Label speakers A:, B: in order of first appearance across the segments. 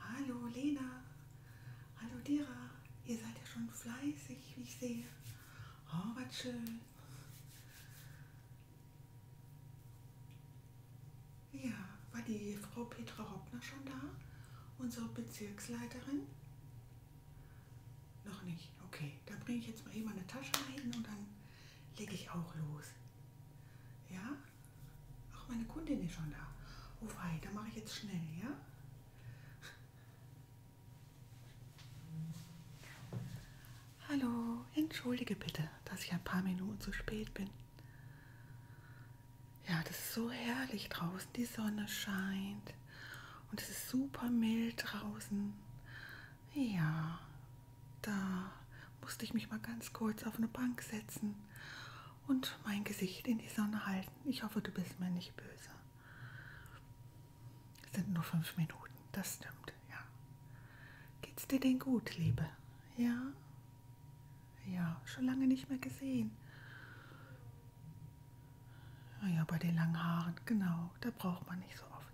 A: Hallo Lena, hallo Dira, ihr seid ja schon fleißig, wie ich sehe. Oh, was schön. Ja, war die Frau Petra Hoppner schon da, unsere Bezirksleiterin? Noch nicht. Okay, da bringe ich jetzt mal eben eine Tasche rein und dann lege ich auch los. Ja? Ach, meine Kundin ist schon da. Oh wei, da mache ich jetzt schnell, ja? Hallo, entschuldige bitte, dass ich ein paar Minuten zu spät bin. Ja, das ist so herrlich draußen. Die Sonne scheint und es ist super mild draußen. Ja, da musste ich mich mal ganz kurz auf eine Bank setzen und mein Gesicht in die Sonne halten. Ich hoffe, du bist mir nicht böse. Es sind nur fünf Minuten, das stimmt, ja. Geht's dir denn gut, Liebe? Ja? Ja, schon lange nicht mehr gesehen. Ah ja, bei den langen Haaren, genau. Da braucht man nicht so oft.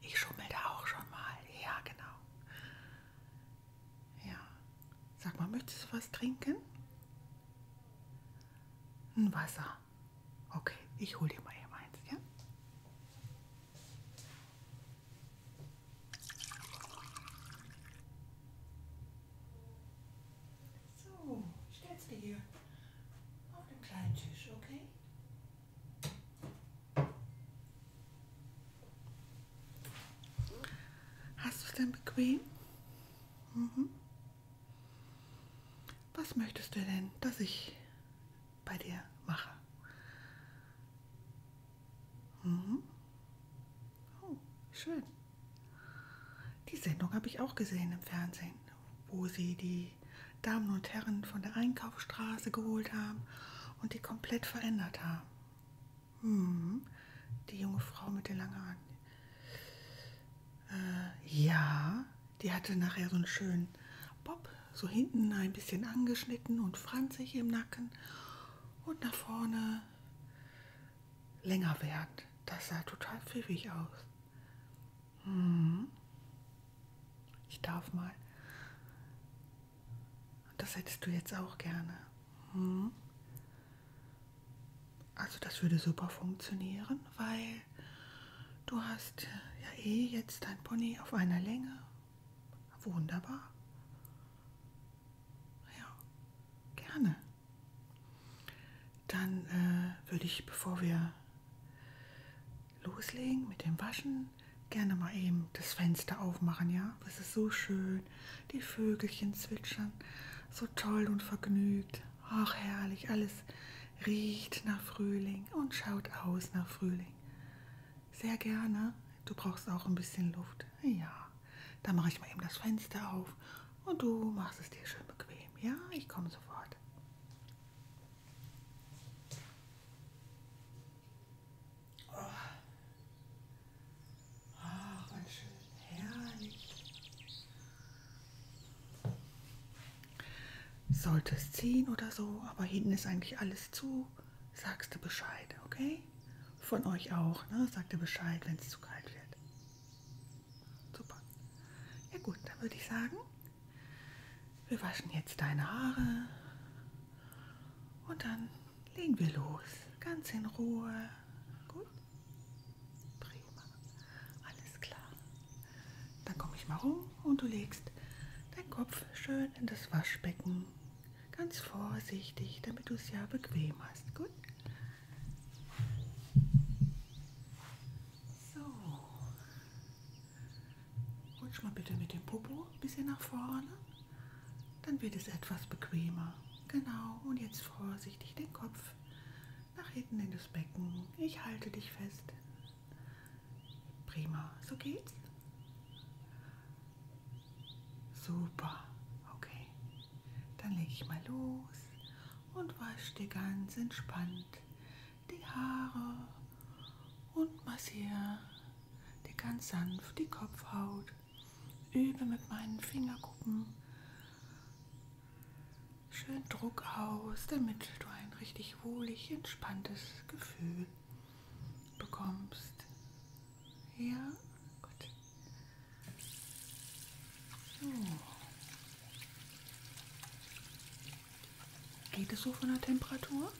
A: Ich schummel da auch schon mal. Ja, genau. Ja. Sag mal, möchtest du was trinken? Ein Wasser. Okay, ich hole dir mal eben eins, ja? So, stell's dir hier auf den kleinen Tisch, okay? Hast du es denn bequem? Mhm. Was möchtest du denn, dass ich bei dir mache? Mhm. Oh, schön. Die Sendung habe ich auch gesehen im Fernsehen, wo sie die Damen und Herren von der Einkaufsstraße geholt haben und die komplett verändert haben. Hm, die junge Frau mit den langen Haaren. Äh, ja, die hatte nachher so einen schönen Bob, so hinten ein bisschen angeschnitten und franzig im Nacken und nach vorne länger werden. Das sah total pfiffig aus. Hm. Ich darf mal. Das hättest du jetzt auch gerne. Hm. Also das würde super funktionieren, weil du hast ja eh jetzt dein Pony auf einer Länge. Wunderbar. Ja, gerne. Dann äh, würde ich, bevor wir loslegen mit dem Waschen, gerne mal eben das Fenster aufmachen, ja? Das ist so schön. Die Vögelchen zwitschern, so toll und vergnügt. Ach, herrlich, alles riecht nach Frühling und schaut aus nach Frühling. Sehr gerne. Du brauchst auch ein bisschen Luft. Ja, da mache ich mal eben das Fenster auf und du machst es dir schön bequem. Ja, ich komme sofort. Oh. Ach, oh, schön herrlich. Sollte es ziehen oder so, aber hinten ist eigentlich alles zu sagst du Bescheid, okay? Von euch auch, ne? Sagt ihr Bescheid, wenn es zu kalt wird. Super. Ja gut, dann würde ich sagen, wir waschen jetzt deine Haare und dann legen wir los. Ganz in Ruhe. Gut? Prima. Alles klar. Dann komme ich mal rum und du legst deinen Kopf schön in das Waschbecken. Ganz vorsichtig, damit du es ja bequem hast. Gut? So. Rutsch mal bitte mit dem Popo ein bisschen nach vorne. Dann wird es etwas bequemer. Genau. Und jetzt vorsichtig den Kopf nach hinten in das Becken. Ich halte dich fest. Prima. So geht's. Super, okay. Dann lege ich mal los und wasche dir ganz entspannt die Haare und massiere dir ganz sanft die Kopfhaut. Übe mit meinen Fingerkuppen schön Druck aus, damit du ein richtig wohlig entspanntes Gefühl bekommst. Ja, gut. So. Geht es so von der Temperatur?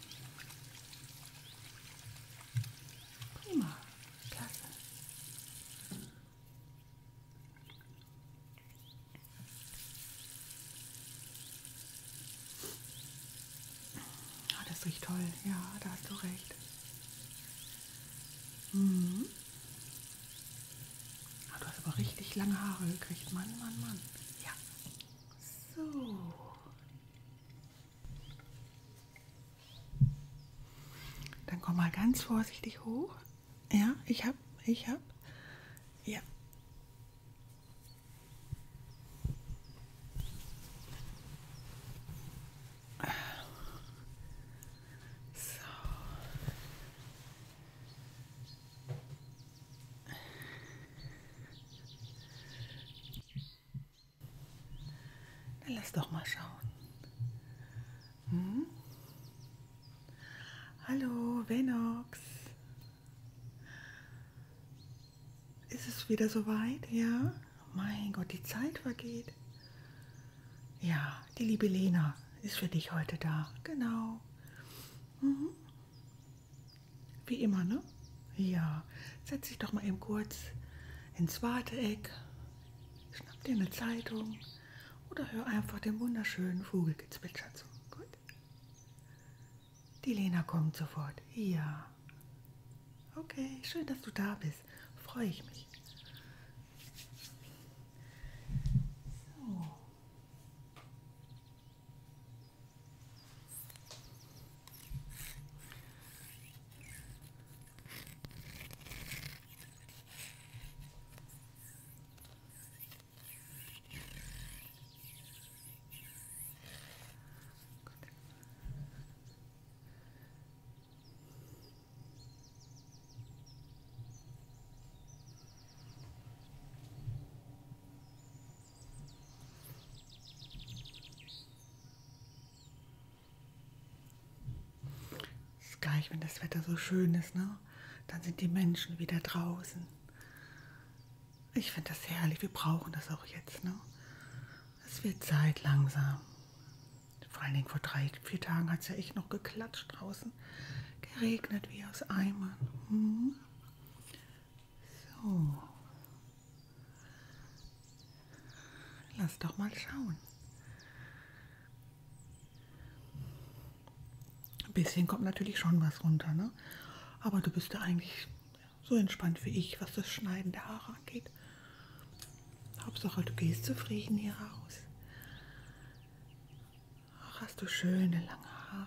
A: Prima, klasse. Oh, das riecht toll. Ja, da hast du recht. Mhm. Oh, du hast aber richtig lange Haare gekriegt. Mann, Mann, Mann. Ja. So. Dann komm mal ganz vorsichtig hoch. Ja, ich hab, ich hab. Ja lass doch mal schauen. Hm? Hallo, Venox ist es wieder soweit, ja? Mein Gott, die Zeit vergeht. Ja, die liebe Lena ist für dich heute da, genau. Mhm. Wie immer, ne? Ja, setz dich doch mal eben kurz ins Warteeck, schnapp dir eine Zeitung oder hör einfach dem wunderschönen Vogelgezwitscher zu. Gut? Die Lena kommt sofort. Ja. Okay, schön, dass du da bist. Freue ich mich. So. Ist gleich, wenn das Wetter so schön ist, ne? Dann sind die Menschen wieder draußen. Ich finde das herrlich. Wir brauchen das auch jetzt. Ne? Es wird Zeit langsam. Vor allen Dingen vor drei, vier Tagen hat es ja echt noch geklatscht draußen. Geregnet wie aus Eimern. Hm? So. Lass doch mal schauen. Ein bisschen kommt natürlich schon was runter, ne? Aber du bist ja eigentlich so entspannt wie ich, was das Schneiden der Haare angeht. Hauptsache, du gehst zufrieden hier raus. Ach, hast du schöne lange Haare.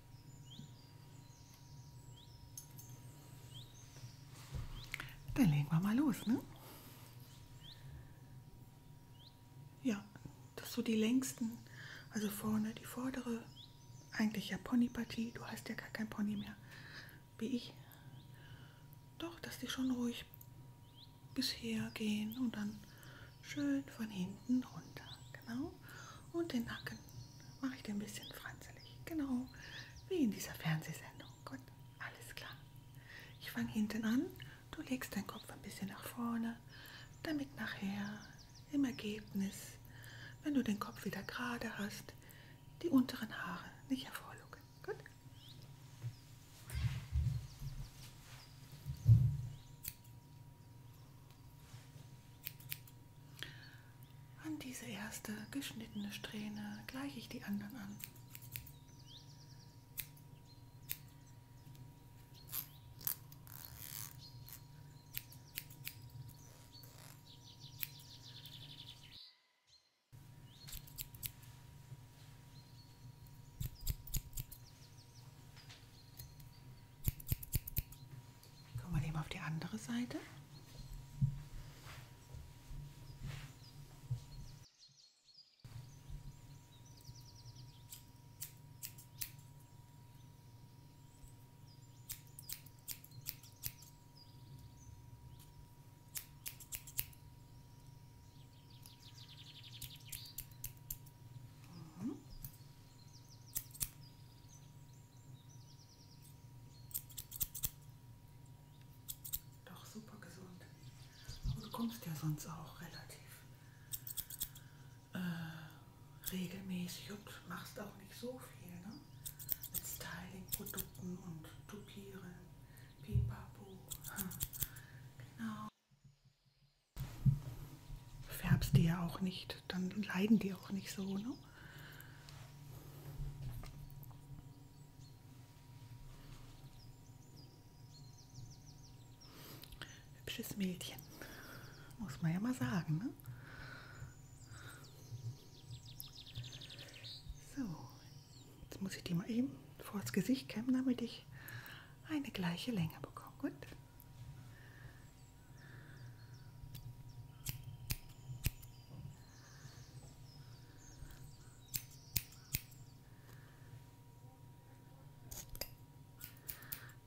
A: Dann legen wir mal los, ne? Ja, das so die längsten, also vorne die vordere, eigentlich ja Ponypartie, du hast ja gar kein Pony mehr, wie ich. Doch, dass die schon ruhig bisher gehen und dann schön von hinten runter, genau. Und den Nacken mache ich den ein bisschen franzelig. Genau, wie in dieser Fernsehsendung. Gut, alles klar. Ich fange hinten an, du legst deinen Kopf ein bisschen nach vorne, damit nachher im Ergebnis, wenn du den Kopf wieder gerade hast, die unteren Haare nicht hervorlucken. Gut? An diese erste geschnittene Strähne gleiche ich die anderen an. Gucken wir eben auf die andere Seite. Doch super gesund. Aber du kommst ja sonst auch relativ äh, regelmäßig und machst auch nicht so viel, ne? Mit Styling-Produkten und Tupieren. Pipapo. Hm. Genau färbst die ja auch nicht, dann leiden die auch nicht so. Ne? Hübsches Mädchen, muss man ja mal sagen. Ne? So, jetzt muss ich die mal eben vors Gesicht kämmen, damit ich eine gleiche Länge bekomme. Gut.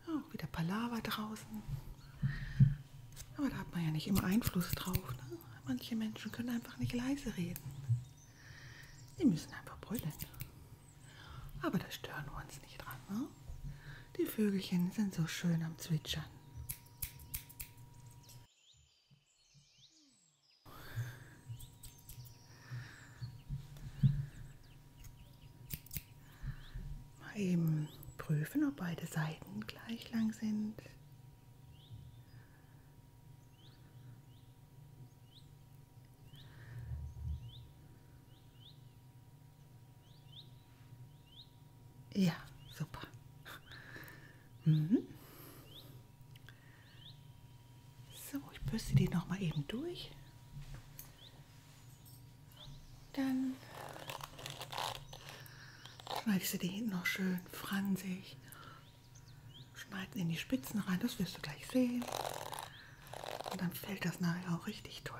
A: Auch oh, wieder Palaver draußen. Aber da hat man ja nicht immer Einfluss drauf. Ne? Manche Menschen können einfach nicht leise reden. Die müssen einfach brüllen. Aber da stören wir uns nicht dran. Ne? Die Vögelchen sind so schön am Zwitschern. Mal eben prüfen, ob beide Seiten gleich lang sind. Ja, super. Mhm. So, ich bürste die noch mal eben durch. Dann schneide ich sie dir hinten noch schön fransig. Schneiden in die Spitzen rein, das wirst du gleich sehen. Und dann fällt das nachher auch richtig toll.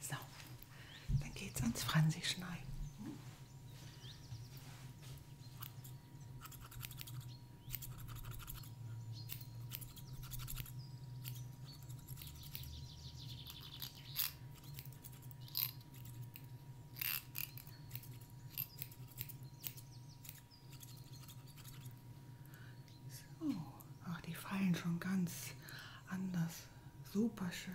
A: So, dann geht's ans Franzi schneiden. So, ach, die fallen schon ganz anders. Super schön.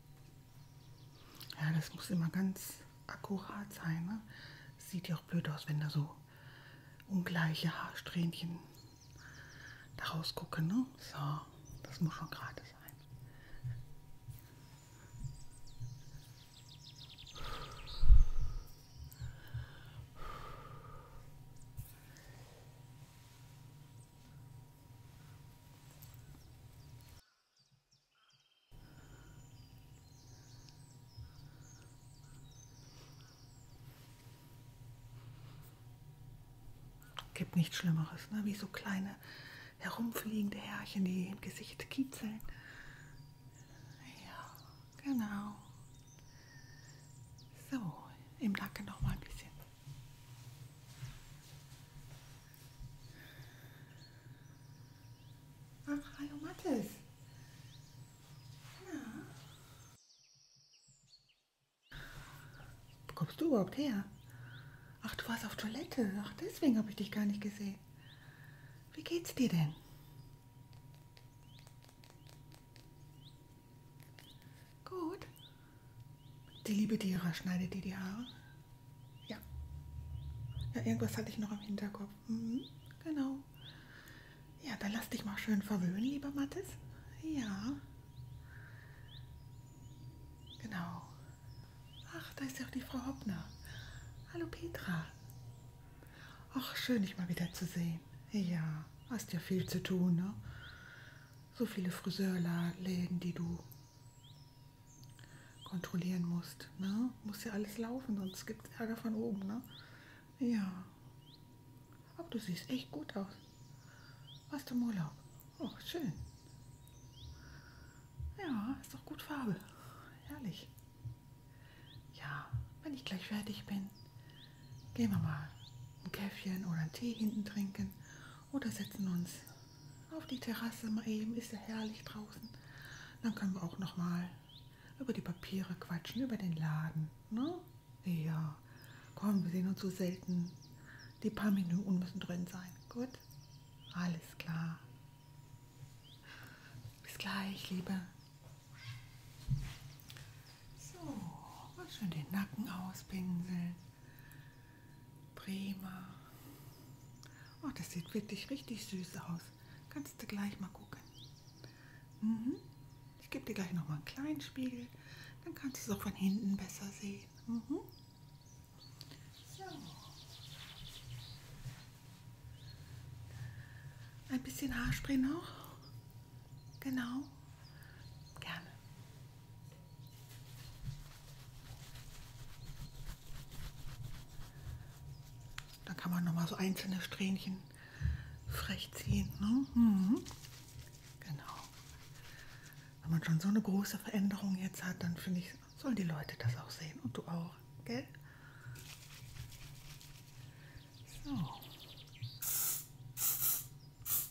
A: Ja, das muss immer ganz akkurat sein. Ne? Sieht ja auch blöd aus, wenn da so ungleiche Haarsträhnchen daraus gucken. Ne? So, das muss schon gerade sein. Gibt nichts Schlimmeres, ne? wie so kleine herumfliegende Härchen, die im Gesicht kitzeln. Ja, genau. So, im Nacken noch mal ein bisschen. Ach, hallo Mathis. Ja. Wo kommst du überhaupt her? Ach, du warst auf Toilette. Ach, deswegen habe ich dich gar nicht gesehen. Wie geht's dir denn? Gut. Die liebe Dira schneidet dir die Haare. Ja. Ja, irgendwas hatte ich noch im Hinterkopf. Mhm, genau. Ja, dann lass dich mal schön verwöhnen, lieber Mathis. Ja. Genau. Ach, da ist ja auch die Frau Hoppner. Hallo Petra. Ach, schön, dich mal wieder zu sehen. Ja, hast ja viel zu tun, ne? so viele Friseurläden, die du kontrollieren musst. Ne? Muss ja alles laufen, sonst gibt es Ärger von oben. Ne? Ja. Aber du siehst echt gut aus. Warst du im Urlaub? Oh, schön. Ja, ist doch gut Farbe. Herrlich. Ja, wenn ich gleich fertig bin, gehen wir mal ein Käffchen oder einen Tee hinten trinken oder setzen uns auf die Terrasse mal eben, ist ja herrlich draußen. Dann können wir auch noch mal über die Papiere quatschen, über den Laden, ne? Ja, komm, wir sehen uns so selten. Die paar Minuten müssen drin sein, gut? Alles klar. Bis gleich, Liebe. So, mal schön den Nacken auspinseln. Prima. Oh, das sieht wirklich richtig süß aus. Kannst du gleich mal gucken. Mhm. Ich gebe dir gleich noch mal einen kleinen Spiegel. Dann kannst du es auch von hinten besser sehen. Mhm. So. Ein bisschen Haarspray noch. Genau. Gerne. Dann kann man noch mal so einzelne Strähnchen frech ziehen. Ne? Mhm. Genau. Wenn man schon so eine große Veränderung jetzt hat, dann finde ich, sollen die Leute das auch sehen und du auch, gell? So.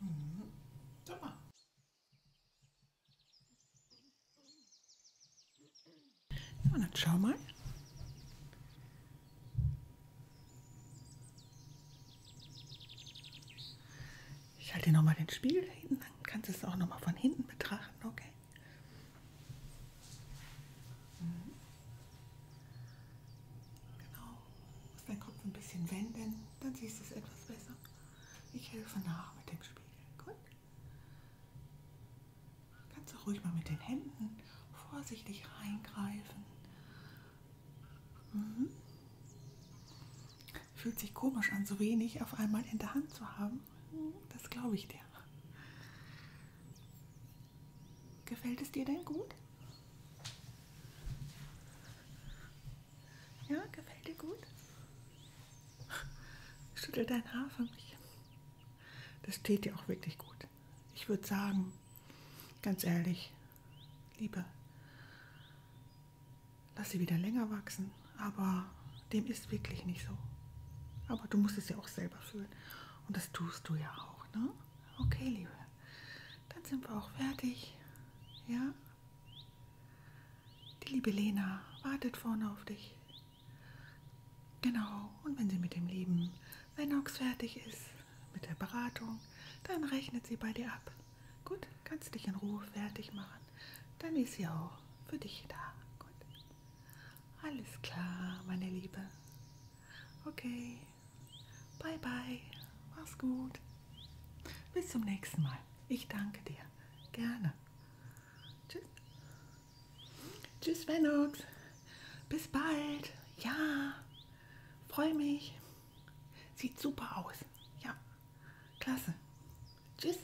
A: Mhm. Sag mal. So, dann schau mal. Ich halte dir nochmal den Spiegel hinten, dann kannst du es auch nochmal von hinten betrachten, okay? Mhm. Genau. Du musst deinen Kopf ein bisschen wenden, dann siehst du es etwas besser. Ich helfe nach mit dem Spiegel. Gut. Kannst du ruhig mal mit den Händen vorsichtig reingreifen. Mhm. Fühlt sich komisch an, so wenig auf einmal in der Hand zu haben. Das glaube ich dir. Gefällt es dir denn gut? Ja, gefällt dir gut? Schüttel dein Haar für mich. Das steht dir auch wirklich gut. Ich würde sagen, ganz ehrlich, Liebe, lass sie wieder länger wachsen aber dem ist wirklich nicht so. Aber du musst es ja auch selber fühlen. Und das tust du ja auch, ne? Okay, Liebe. Dann sind wir auch fertig. Ja? Die liebe Lena wartet vorne auf dich. Genau. Und wenn sie mit dem lieben Lennox fertig ist, mit der Beratung, dann rechnet sie bei dir ab. Gut, kannst dich in Ruhe fertig machen. Dann ist sie auch für dich da. Gut. Alles klar, meine Liebe. Okay. Bye bye. Mach's gut. Bis zum nächsten Mal. Ich danke dir. Gerne. Tschüss. Tschüss, Venox. Bis bald. Ja. Freue mich. Sieht super aus. Ja. Klasse. Tschüss.